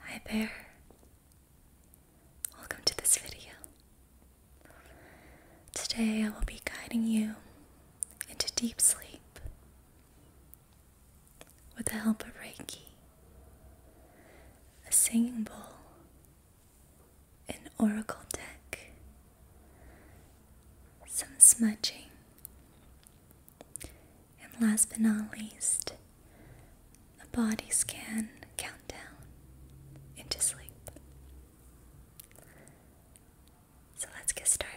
Hi there. Welcome to this video. Today I will be guiding you into deep sleep with the help of Reiki, a singing bowl, an oracle deck, some smudging, and last but not least, a body scan countdown into sleep. So let's get started.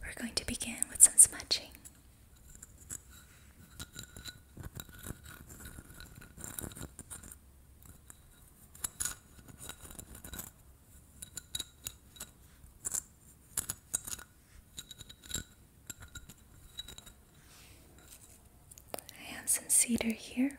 We're going to begin with some smudging. I have some cedar here.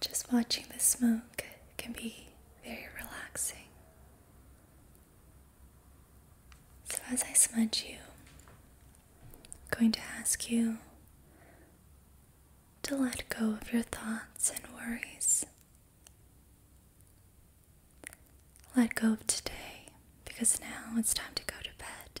Just watching the smoke can be very relaxing. So, as I smudge you, I'm going to ask you to let go of your thoughts and worries. Let go of today because now it's time to go to bed.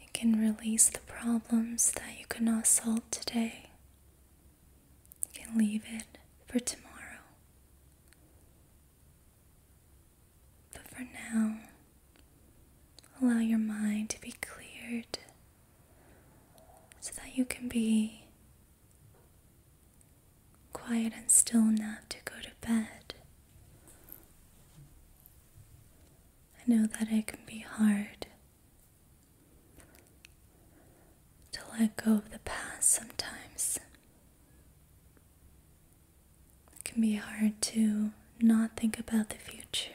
You can release the problems that you cannot solve today. You can leave it for tomorrow. But for now, allow your mind to be cleared so that you can be quiet and still enough to go to bed. I know that it can be hard to let go of the past sometimes. It can be hard to not think about the future.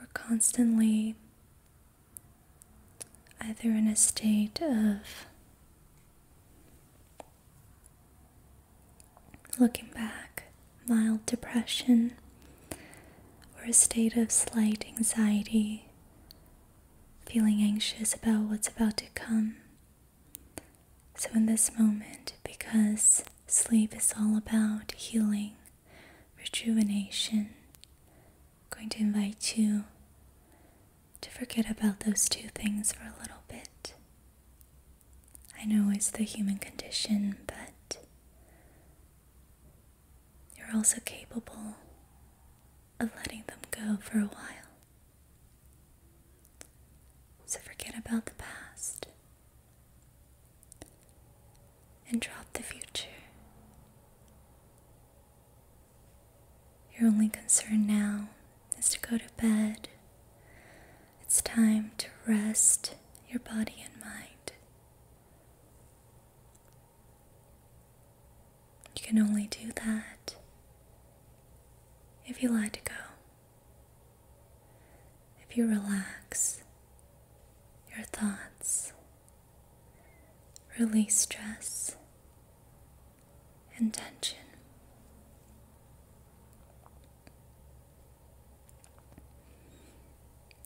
or constantly either in a state of Looking back, mild depression or a state of slight anxiety, feeling anxious about what's about to come. So, in this moment, because sleep is all about healing, rejuvenation, I'm going to invite you to forget about those two things for a little bit. I know it's the human condition, but you're also capable of letting them go for a while. So forget about the past and drop the future. Your only concern now is to go to bed it's time to rest your body and mind. You can only do that if you let go, if you relax your thoughts, release stress and tension.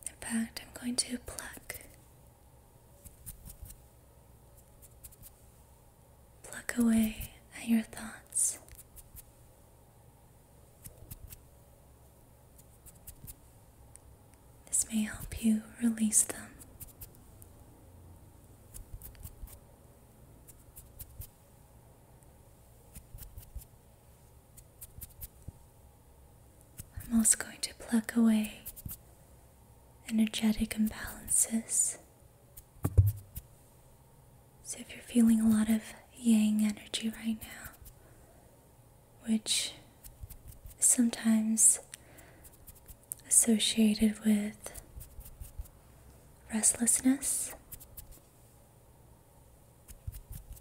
In fact, I'm going to pluck. Pluck away at your thoughts. This may help you release them. I'm also going to pluck away energetic imbalances. So, if you're feeling a lot of yang energy right now, which is sometimes associated with restlessness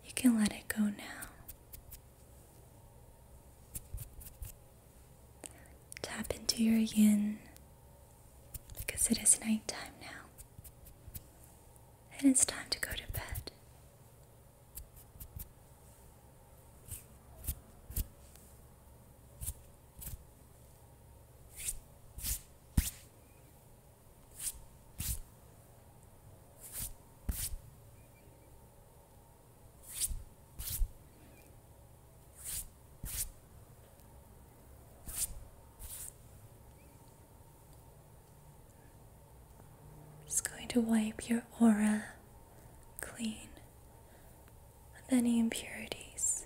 you can let it go now. Tap into your yin because it is nighttime now. And it's time to go to bed. It's going to wipe your aura clean of any impurities.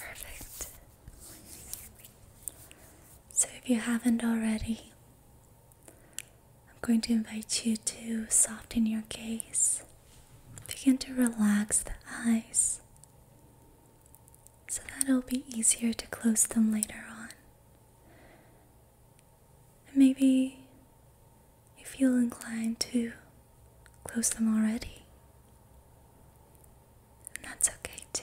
Perfect. So, if you haven't already, I'm going to invite you to soften your gaze. Begin to relax the eyes so that it'll be easier to close them later on. And maybe you feel inclined to close them already. And that's okay too.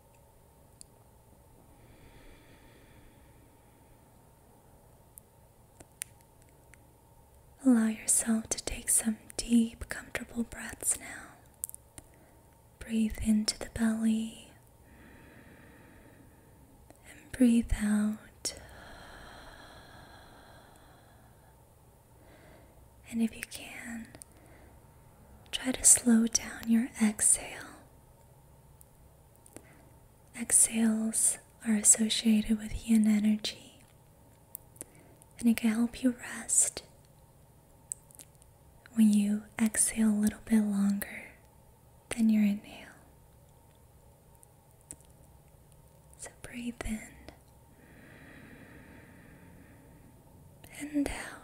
Allow yourself to take some deep, comfortable breaths now. Breathe into the belly and breathe out. And if you can, try to slow down your exhale. Exhales are associated with yin energy, and it can help you rest when you exhale a little bit longer than your inhale. So breathe in and out.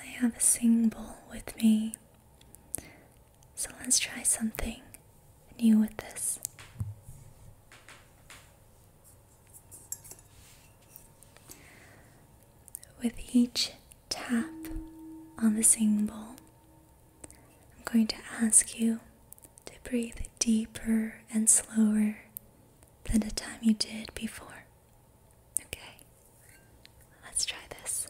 I have a sing bowl with me. So let's try something new with this. With each tap on the sing bowl, I'm going to ask you to breathe deeper and slower than the time you did before. Okay. Let's try this.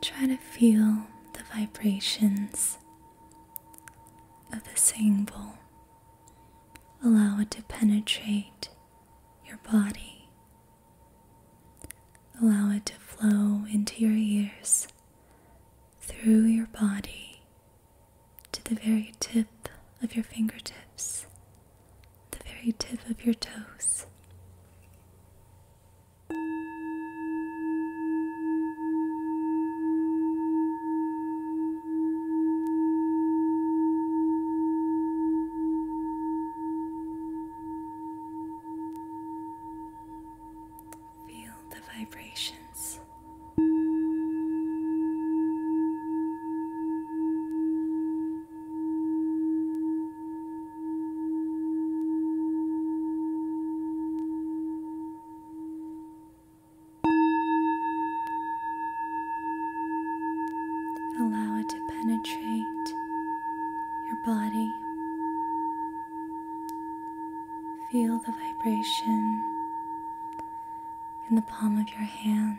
Try to feel the vibrations of a symbol. Allow it to penetrate your body. Allow it to flow into your ears, through your body, to the very tip of your fingertips, the very tip of your toes. Feel the vibrations. Allow it to penetrate your body. Feel the vibration in the palm of your hands.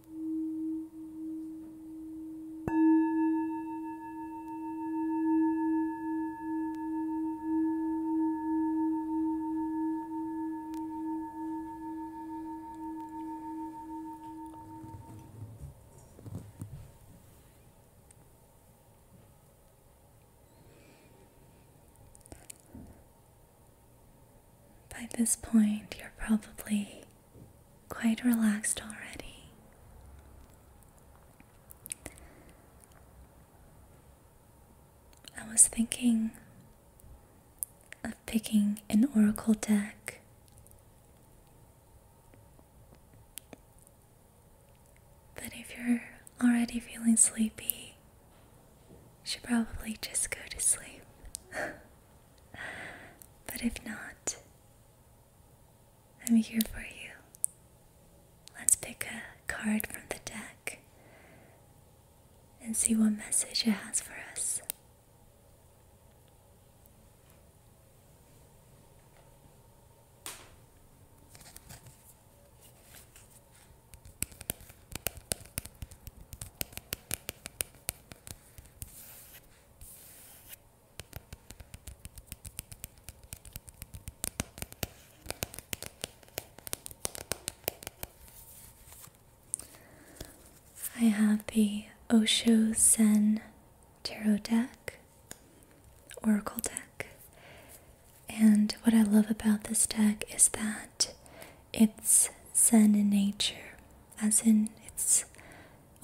By this point, you're probably quite relaxed already. I was thinking of picking an oracle deck. But if you're already feeling sleepy, you should probably just go to sleep. but if not, I'm here for you. Let's pick a card from the deck and see what message it has for us. I have the Osho Sen Tarot deck, Oracle deck, and what I love about this deck is that it's Zen in nature, as in it's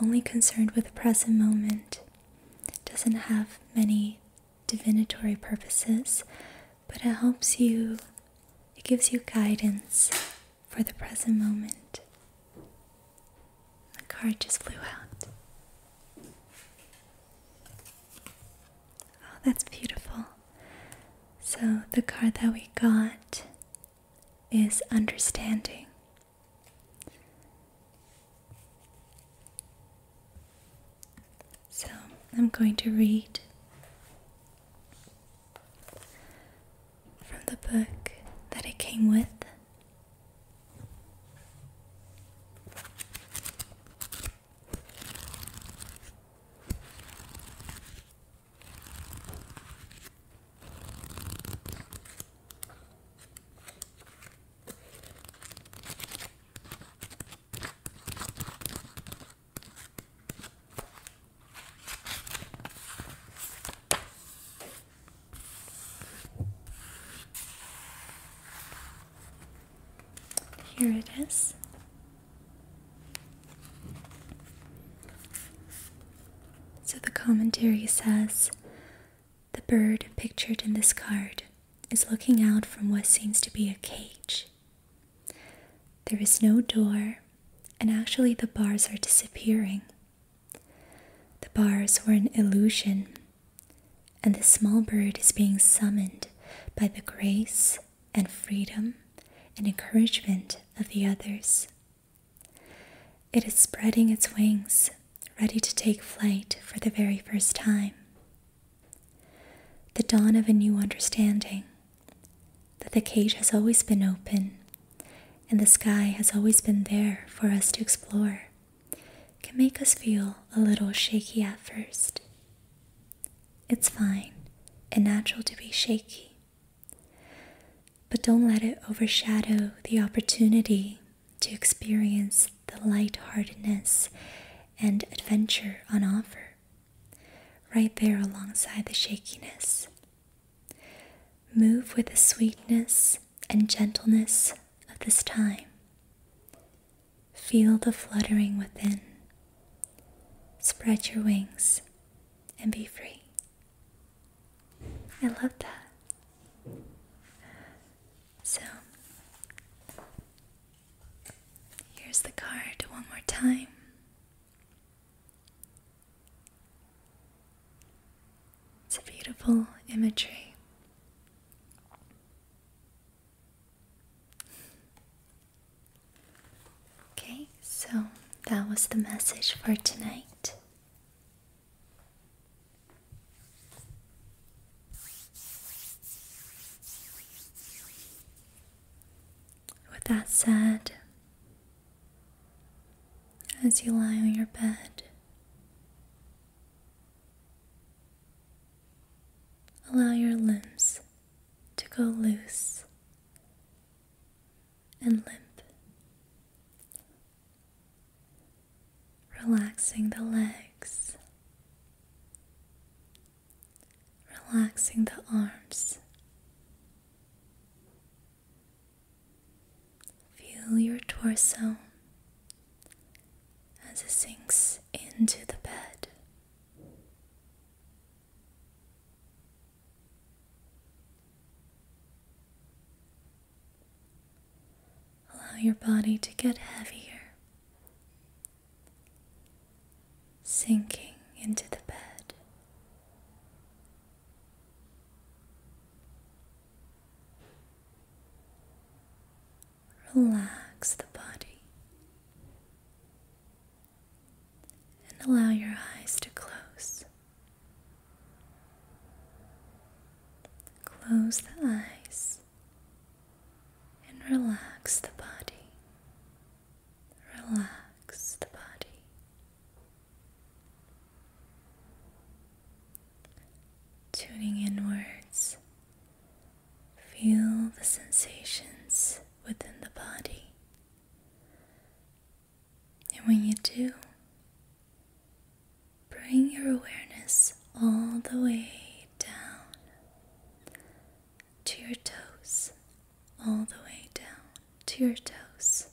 only concerned with the present moment, doesn't have many divinatory purposes, but it helps you, it gives you guidance for the present moment. The card just flew out. Oh, that's beautiful. So, the card that we got is understanding. So I'm going to read from the book that it came with. Here it is. So the commentary says the bird pictured in this card is looking out from what seems to be a cage. There is no door, and actually, the bars are disappearing. The bars were an illusion, and the small bird is being summoned by the grace and freedom and encouragement of the others. It is spreading its wings, ready to take flight for the very first time. The dawn of a new understanding that the cage has always been open and the sky has always been there for us to explore can make us feel a little shaky at first. It's fine and natural to be shaky but don't let it overshadow the opportunity to experience the lightheartedness and adventure on offer, right there alongside the shakiness. Move with the sweetness and gentleness of this time. Feel the fluttering within. Spread your wings and be free. I love that. So, here's the card one more time. It's a beautiful imagery. Okay, so that was the message for tonight. With that said, as you lie on your bed, allow your limbs to go loose and limp relaxing the legs, relaxing the arms. Feel your torso as it sinks into the bed. Allow your body to get heavier, sinking into the bed. Relax the body and allow your eyes to close. Close the eyes and relax the body. Relax the body. Tuning inwards, feel the sensations within the body. And when you do, bring your awareness all the way down to your toes, all the way down to your toes.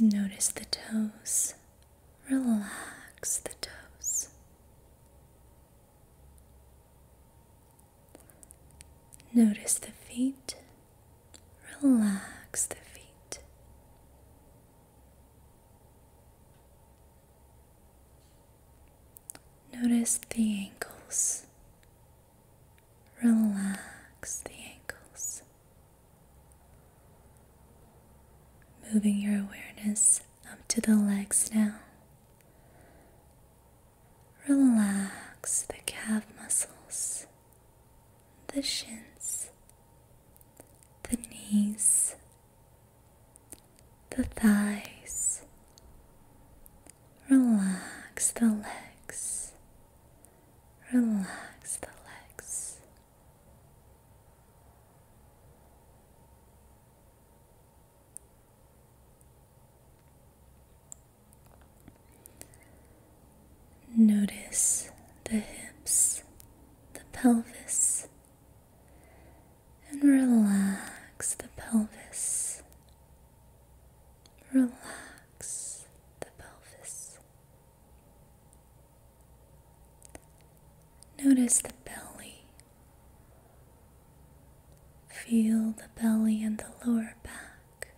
Notice the toes. Relax the toes. Notice the feet, relax the feet. Notice the ankles, relax the ankles. Moving your awareness up to the legs now. Relax the calf muscles, the shins, the knees, the thighs. Relax the legs. Relax the legs. Notice the hips, the pelvis, and relax the pelvis. Relax the pelvis. Notice the belly, Feel the belly and the lower back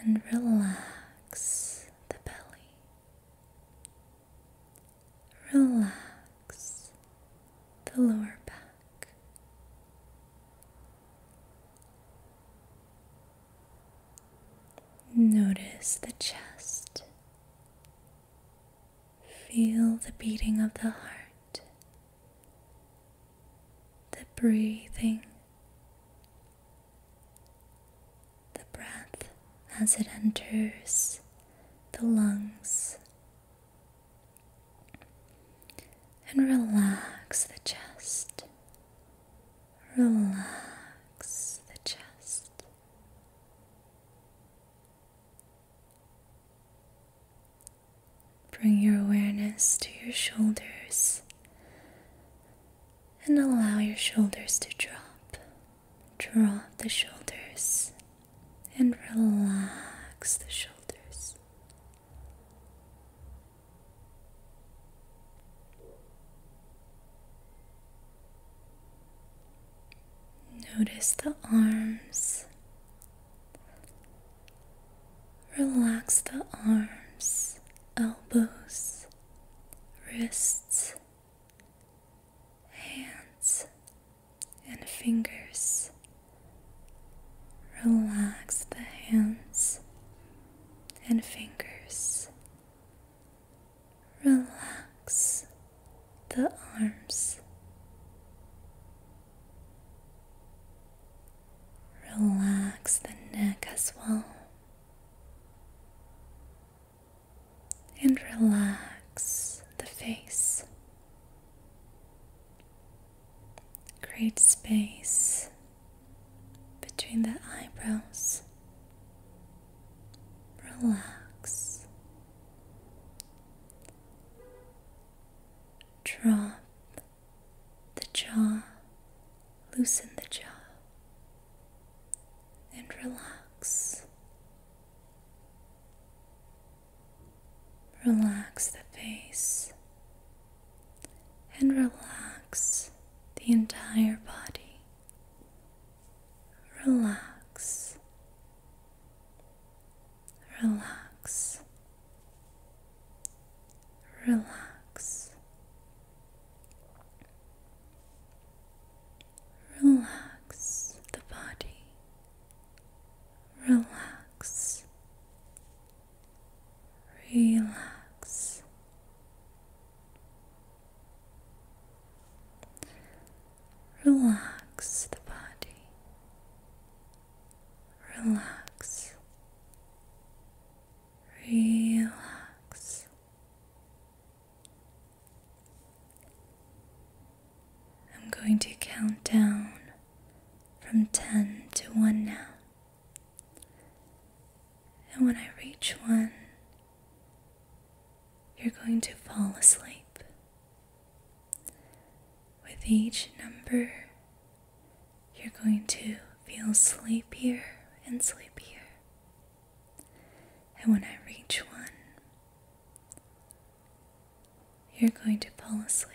and relax the belly. Relax the lower back. Notice the chest. Feel the beating of the heart, the breathing, the breath as it enters the lungs, and relax the chest. Relax the chest. Bring your awareness to your shoulders and allow your shoulders to drop. Drop the shoulders and relax the shoulders. Notice the arms. Relax the arms, elbows, wrists, hands, and fingers. Relax the hands and fingers. Relax the arms. Relax the neck as well. And relax the face. Create space between the eyebrows. Relax Drop the jaw, loosen the jaw, and relax. Relax the face and relax the entire body. Relax Relax, relax, relax the body, relax, relax. Relax the body. Relax. Relax. I'm going to count down from 10 to 1 now. And when I reach 1, you're going to fall asleep. With each number, you're going to feel sleepier and sleepier. And when I reach one, you're going to fall asleep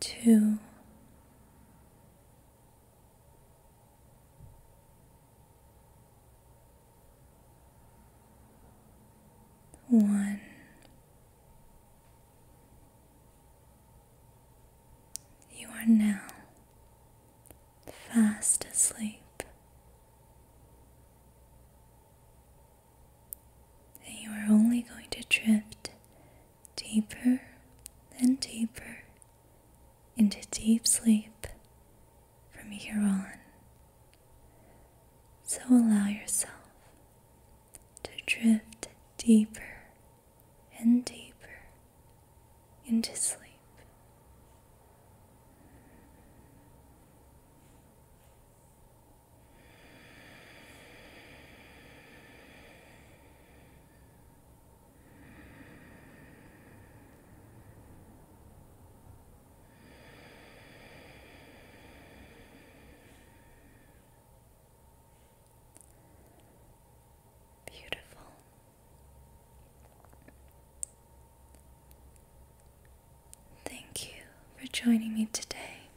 two, one. You are now fast asleep. And you are only going to drift deeper and deeper into deep sleep from here on. So allow yourself to drift deeper and deeper into sleep. Beautiful. Thank you for joining me today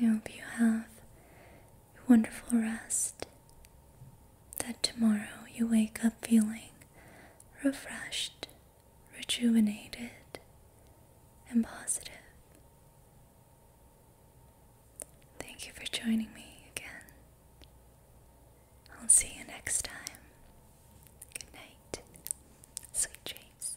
I hope you have a wonderful rest. That tomorrow you wake up feeling refreshed, rejuvenated, and positive. Thank you for joining me again. I'll see you next time. Good night. Sweet dreams.